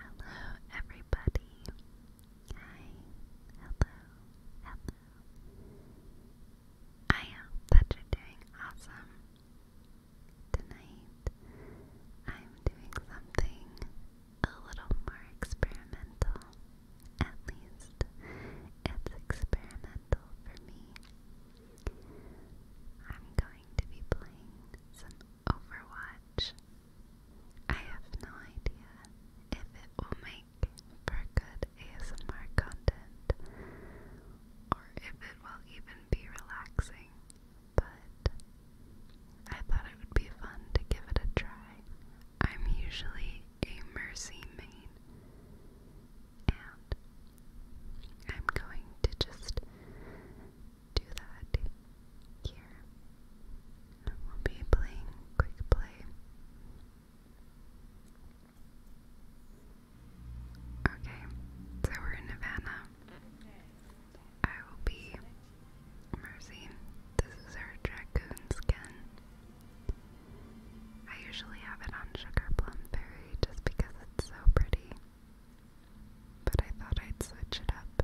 Hello, everybody. Hi. Hello. Hello. I hope that you doing awesome. Tonight, I'm doing something a little more experimental. At least, it's experimental for me. I'm going to be playing some Overwatch. I have no idea if it will make for good ASMR content or if it will even be relaxing, but I thought it would be fun to give it a try. I'm usually a Mercy main, and I'm going to just do that here. we'll be playing quick play. Okay, so we're in Havana. I will be Mercy. This is our dragoon skin. I usually have it on Sugar Plum Berry just because it's so pretty. But I thought I'd switch it up.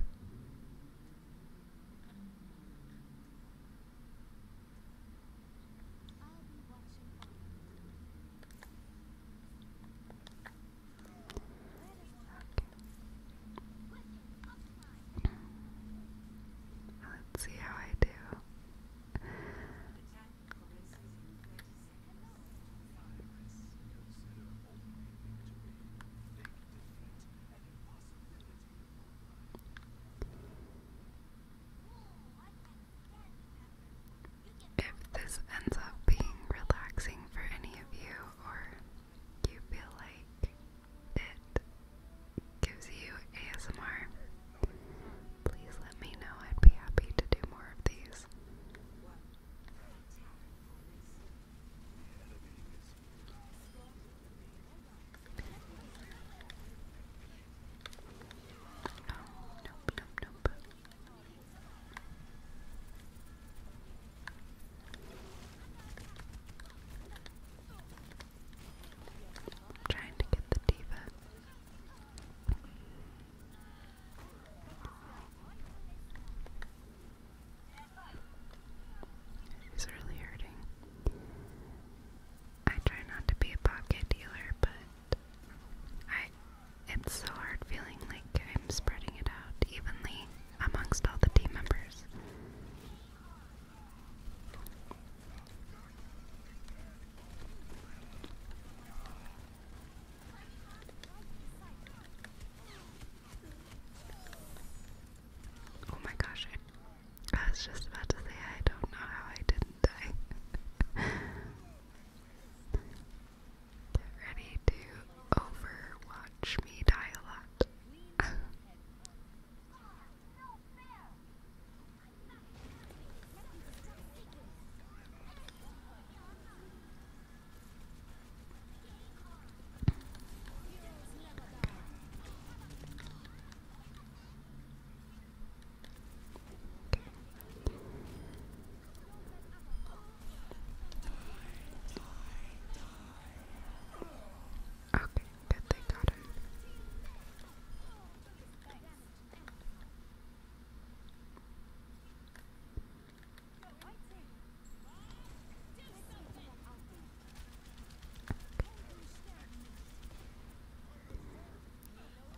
Let's see how I do. If this ends up being relaxing for any of you, or you feel like it gives you ASMR, please let me know. I'd be happy to do more of these. Oh, nope, trying to get the diva. He's really hurting. I try not to be a pocket dealer, but I it's so hard feeling like I'm spreading it out evenly amongst all the team members. Oh my gosh, I, was just about to say I don't know how I didn't die. Get ready to overwatch me die a lot. Okay, good, they got him.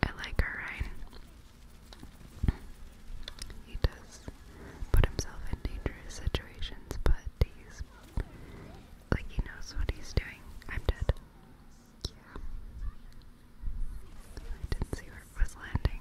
I like her, right? He does put himself in dangerous situations, but he's like he knows what he's doing. I'm dead. Yeah. didn't see where it was landing.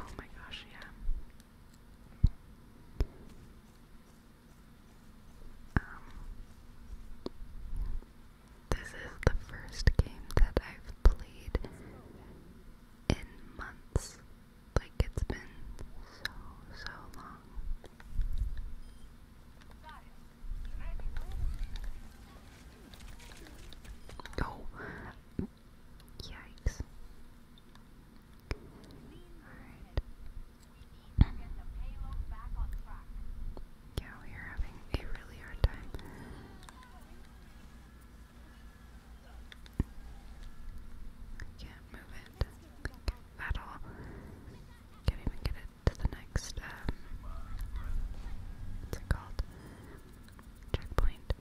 Oh my gosh, yeah. Um, this is the first game that I've played in months. Like, it's been so, so long. Oh, Yikes. Yeah, we are having a really hard time. can't move it at all. Can't even get it to the next, um, what's it called? Checkpoint.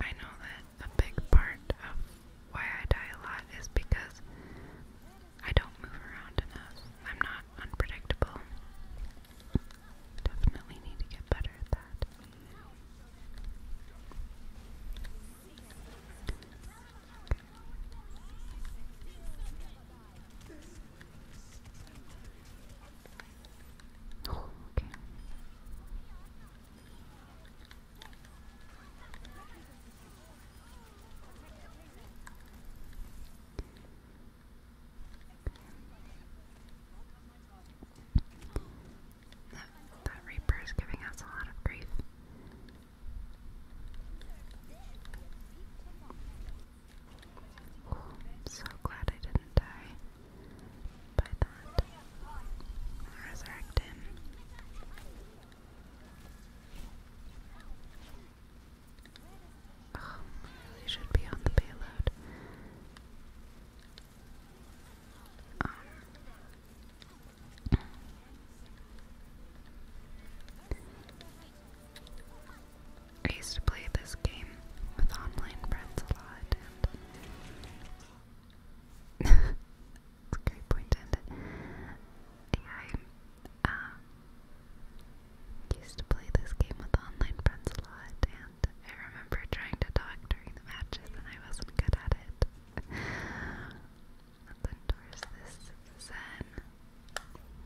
I know that a big part of why I die a lot is because I don't move around enough. I'm not unpredictable. Definitely need to get better at that. Oh, okay. That, that Reaper is giving us a lot of grief. I'm so glad I didn't die by that. Resurrect Oh, I really should be on the payload. Um, I used to play this game with online friends a lot and it's a great point to Yeah, I used to play this game with online friends a lot and I remember trying to talk during the matches and I wasn't good at it. Lindor is this Zen.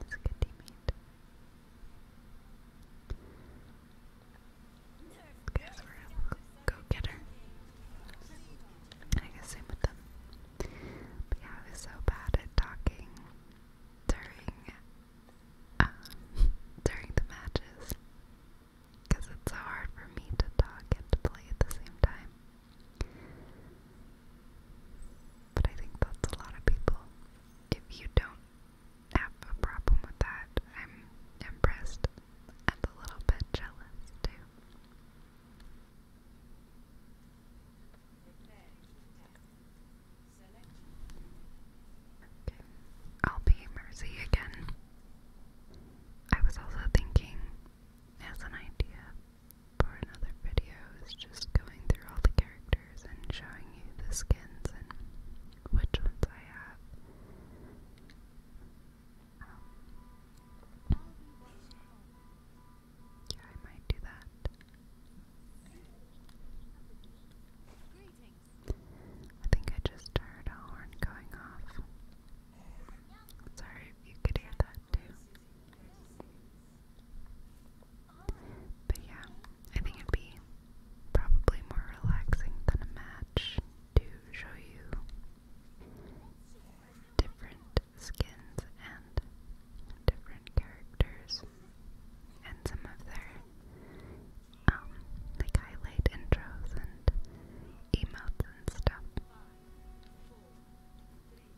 He's good teammate. Guess go get her. I guess same with them. But yeah, I was so bad at talking during during the matches. Because it's so hard for me to talk and play at the same time. But I think that's a lot of people. If you don't have a problem with that, I'm impressed and a little bit jealous too. Okay. I'll be Mercy again. I was also thinking, as an idea, for another video is just going through all the characters and showing you the skins and which ones I have. Um, yeah, I might do that. I think I just heard a horn going off. Sorry if you could hear that too. But yeah, I think it'd be probably more relaxing than a match to show you different skins and different characters and some of their um, like highlight intros and emotes and stuff.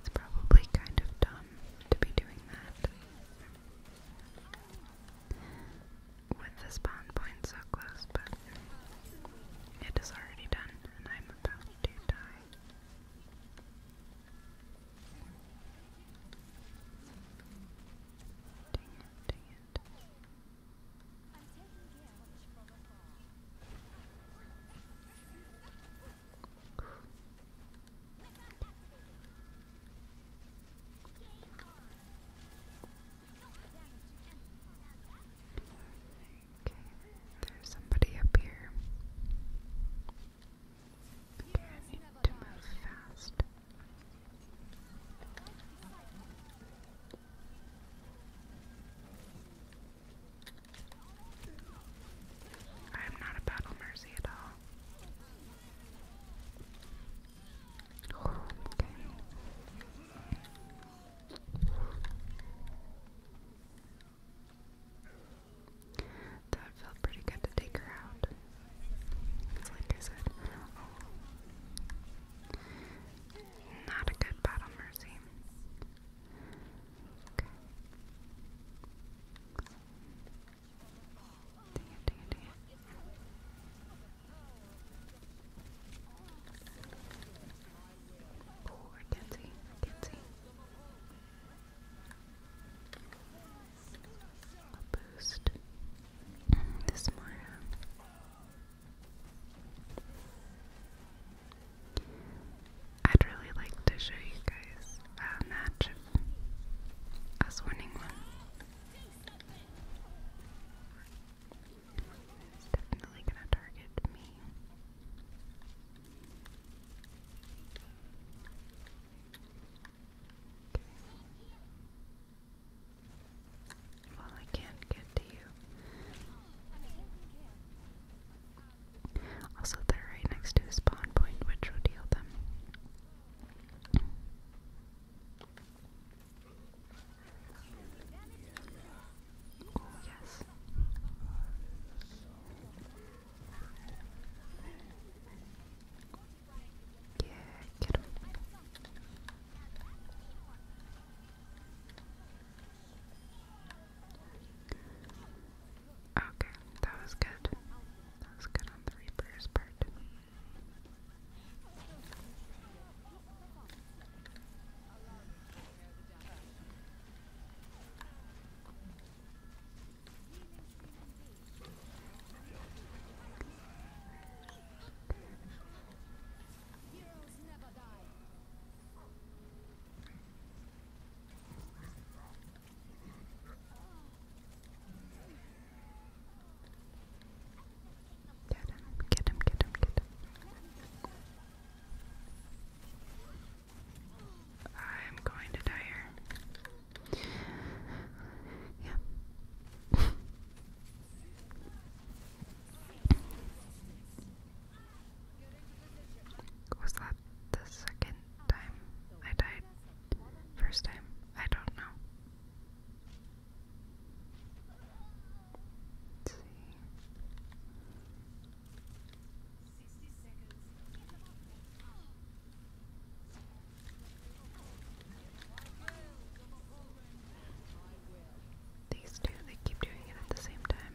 It's probably kind of dumb to be doing that. With the spawn point so close, but it is already done and I'm about to die there's somebody up here. I need to move fast. I am not a battle mercy at all. That felt pretty good to take her out. It's like I said, oh, not a good battle mercy. Dang it, dang it, boost mm, this more. I'd really like to show you guys a match of us winning one. It's definitely gonna target me. Well, I can't get to you. Also, they're right next to a spawn point, which will deal them. yes. Yeah, Okay, that was good. That was good on the Reaper's part. Get him, get him, get him, get him. I'm going to die here. Yeah. Was that the second time I died? First time? I don't know. These two, they keep doing it at the same time.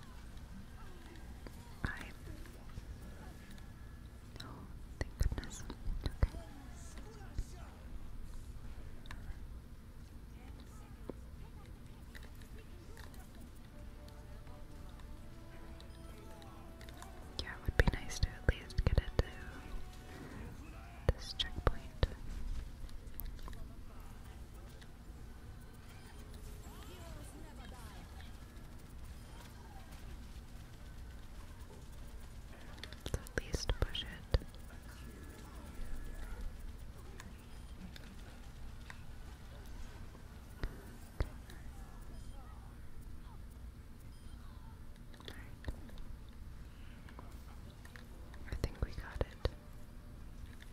thank goodness. Yeah, would be nice to at least get it this checkpoint. Let's at least push it. I think we got it.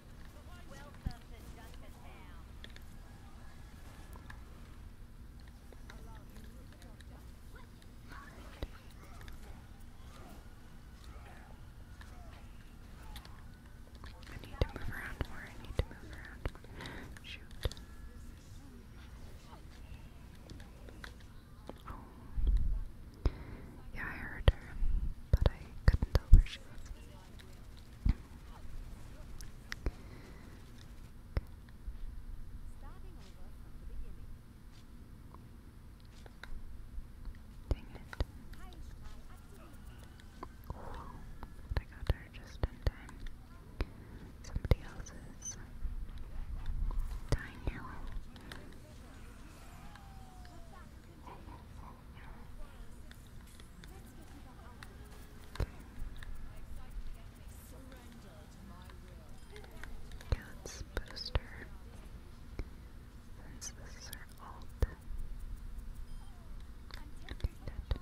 I need to move around more. I need to move around more. Shoot. Oh. Yeah, I heard her, but I couldn't tell where she was. Dang it. I got her just in time. Somebody else's dying arrow. Cat's booster. Since this is her alt. Okay, good. Okay.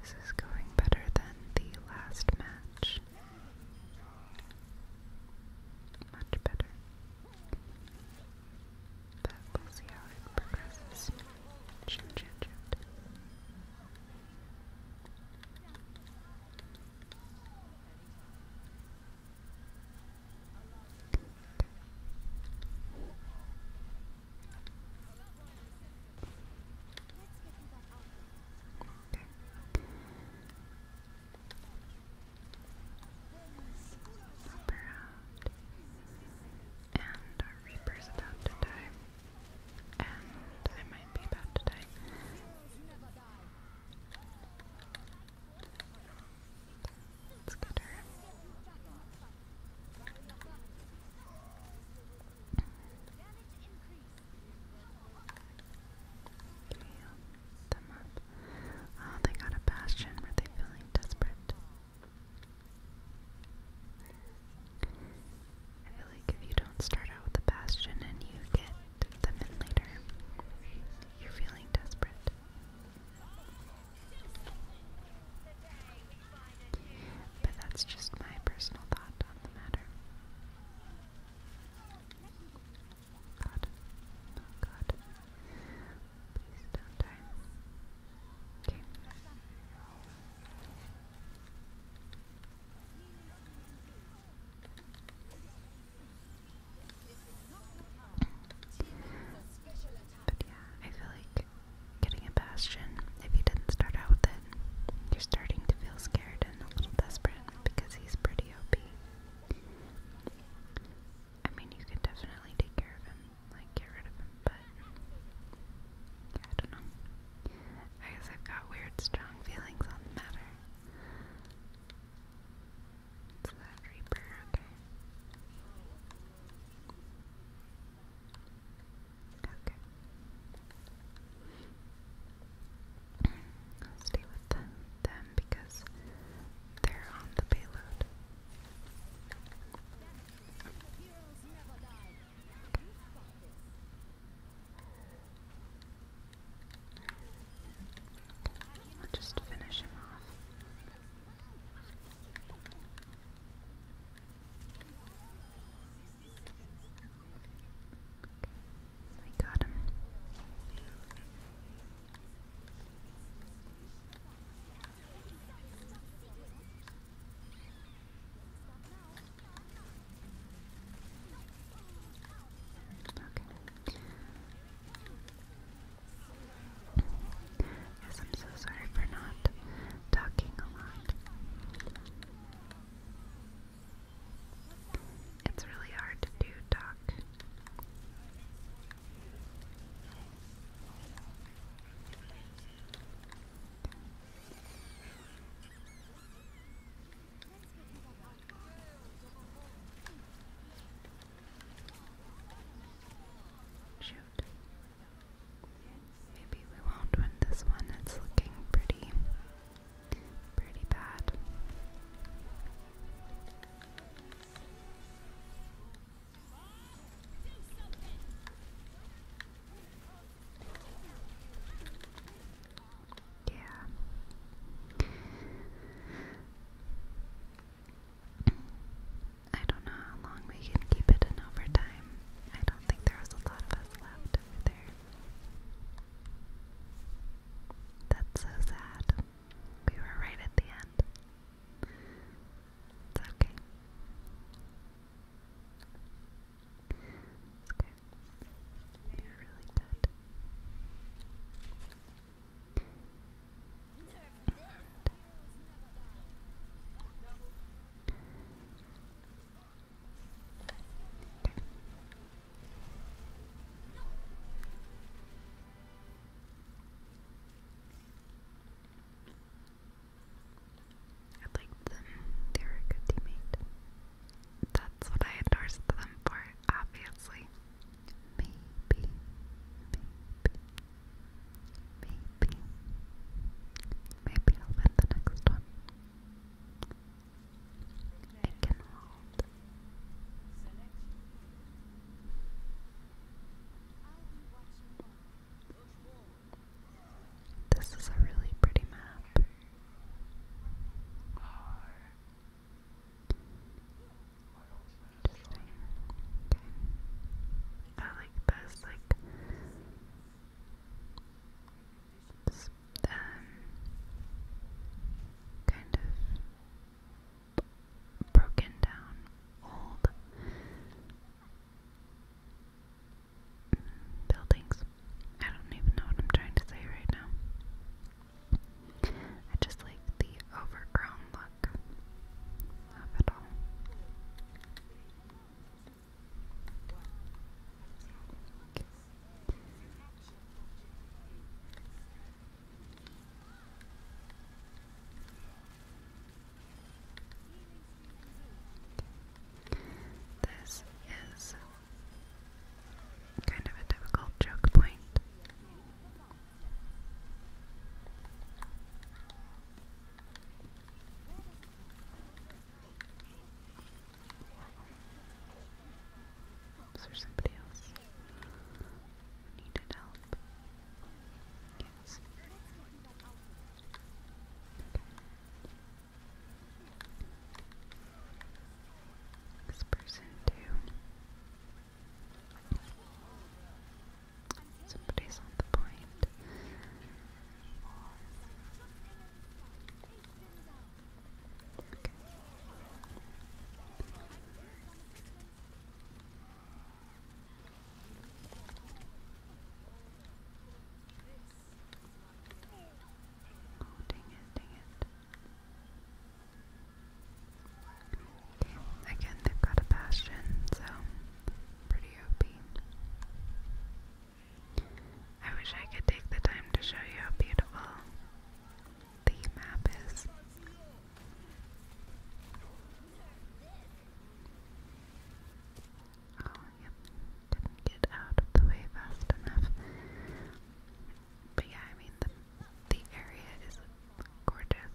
This is going better than the last match. Much better. we'll see how it progresses. And our Reaper's about to die. And I might be about to die. Let's them oh, they got a bastion. Were they feeling desperate? I feel like if you don't start out with a bastion and you get them in later, you're feeling desperate. But that's just my personal thought on the matter. God. Oh god. Please don't die. Okay. But yeah, I feel like getting a bastion. If you didn't start out with it, you're starting to feel scared and a little desperate because he's pretty OP. I mean, you could definitely take care of him, like get rid of him, but I don't know. I guess I've got weird, strong feelings on the matter. It's that Reaper, okay. Okay. I'll stay with them, because they're on the payload. I'll just finish him off. Okay, I got him. Okay. Yes, I'm so sorry for not talking a lot. It's really hard to do talk. Shoot. Maybe we won't win this one. It's looking pretty, pretty bad. Yeah. I don't know how long we can keep it in overtime. I don't think there a lot of us left over there. That's so sad. We were right at the end. It's okay. It's okay. You're really good. I liked them. They were a good teammate. That's what I endorsed them for, obviously. Maybe, Maybe. Maybe I'll find the next one. It can This is a really pretty map. I like this, like um, kind of broken down, old buildings. I don't even know what I'm trying to say right now. I just like the overgrown look of it This is kind of a difficult joke point. Is there somebody else who needed help? Yes. This person too. Somebody's on the point. Okay. Oh, dang it, dang it. Okay, again, they've got a bastion, so pretty I wish I could take the time to show you how beautiful the map is. Oh, yep, didn't get out of the way fast enough. But yeah, I mean, the, the area is gorgeous.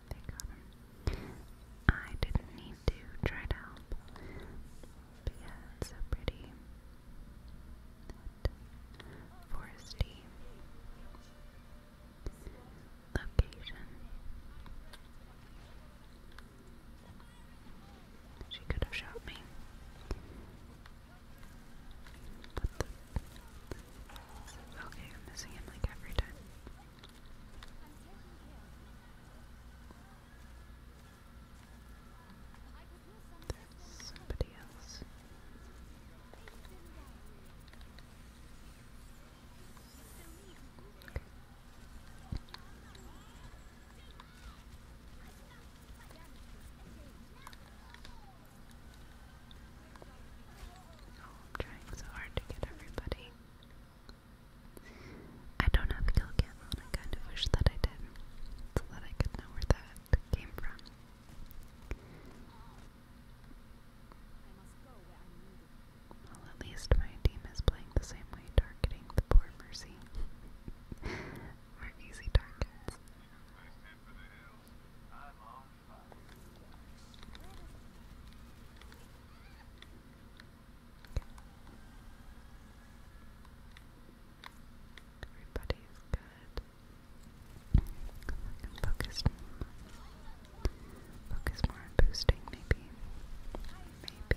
I didn't need to try to help. yeah, so pretty. That location. She could have shot me. Okay, I'm missing him like every time. There's somebody else. I'm trying so hard to get everybody. I don't have a kill on, I kind of wish that I did, so that I could know where that came from. Well, at least my team is playing the same way, targeting the poor Mercy. we easy targets. Everybody's good. I can focus, focus more boosting, maybe. Maybe.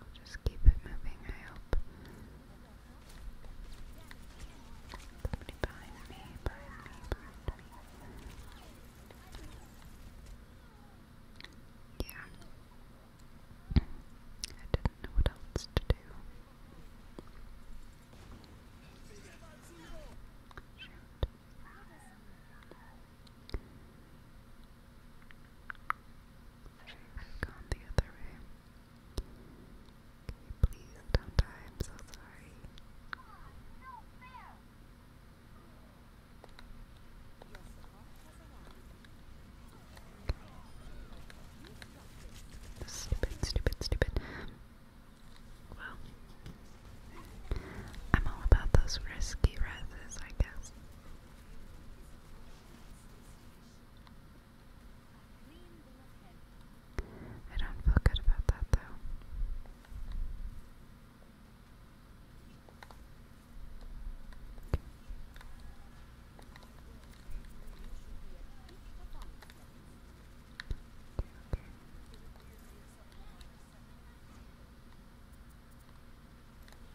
i just keep it moving, I hope. Yeah. I didn't know what else to do. Shoot. have gone the other way. Okay, please I'm so sorry. Stupid, stupid, stupid. Well, I'm all about those risky reses, I guess. I don't feel good about that though.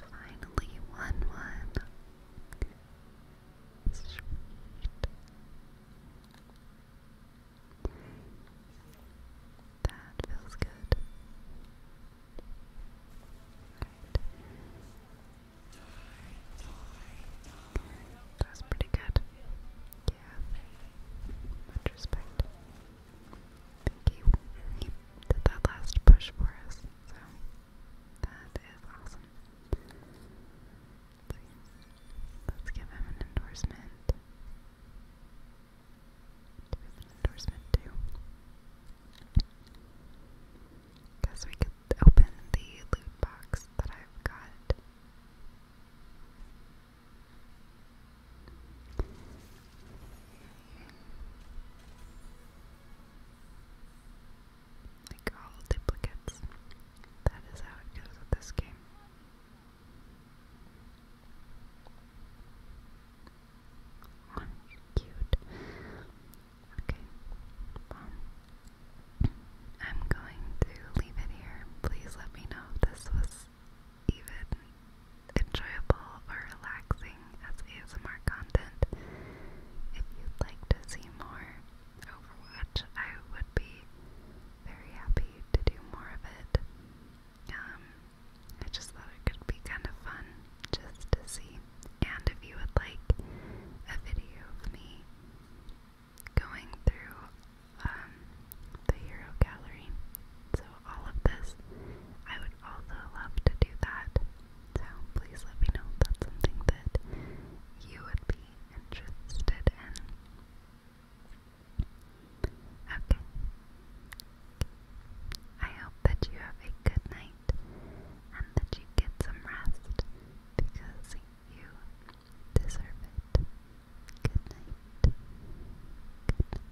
Finally, won one. Sweet. That feels good. That's pretty good. Yeah. Much respect. He, he did that last push for us, so that is awesome. Let's, give him an endorsement. Do we an endorsement too? Guess we could open the loot box that I've got. Like all duplicates. That is how it goes with this game. Oh, cute. Okay. I'm going to leave it here. Please let me know if this was even enjoyable or relaxing as ASMR content. If you'd like to see more Overwatch, I would be very happy to do more of it. Um, I just thought it could be kind of fun just to see. And if you would like a video of me going through um, the Hero Gallery, so all of this. I would also love to do that. So please let me know that's something that you would be interested in. Okay. I hope that you have a good night and that you get some rest because you deserve it. Good night. Good night.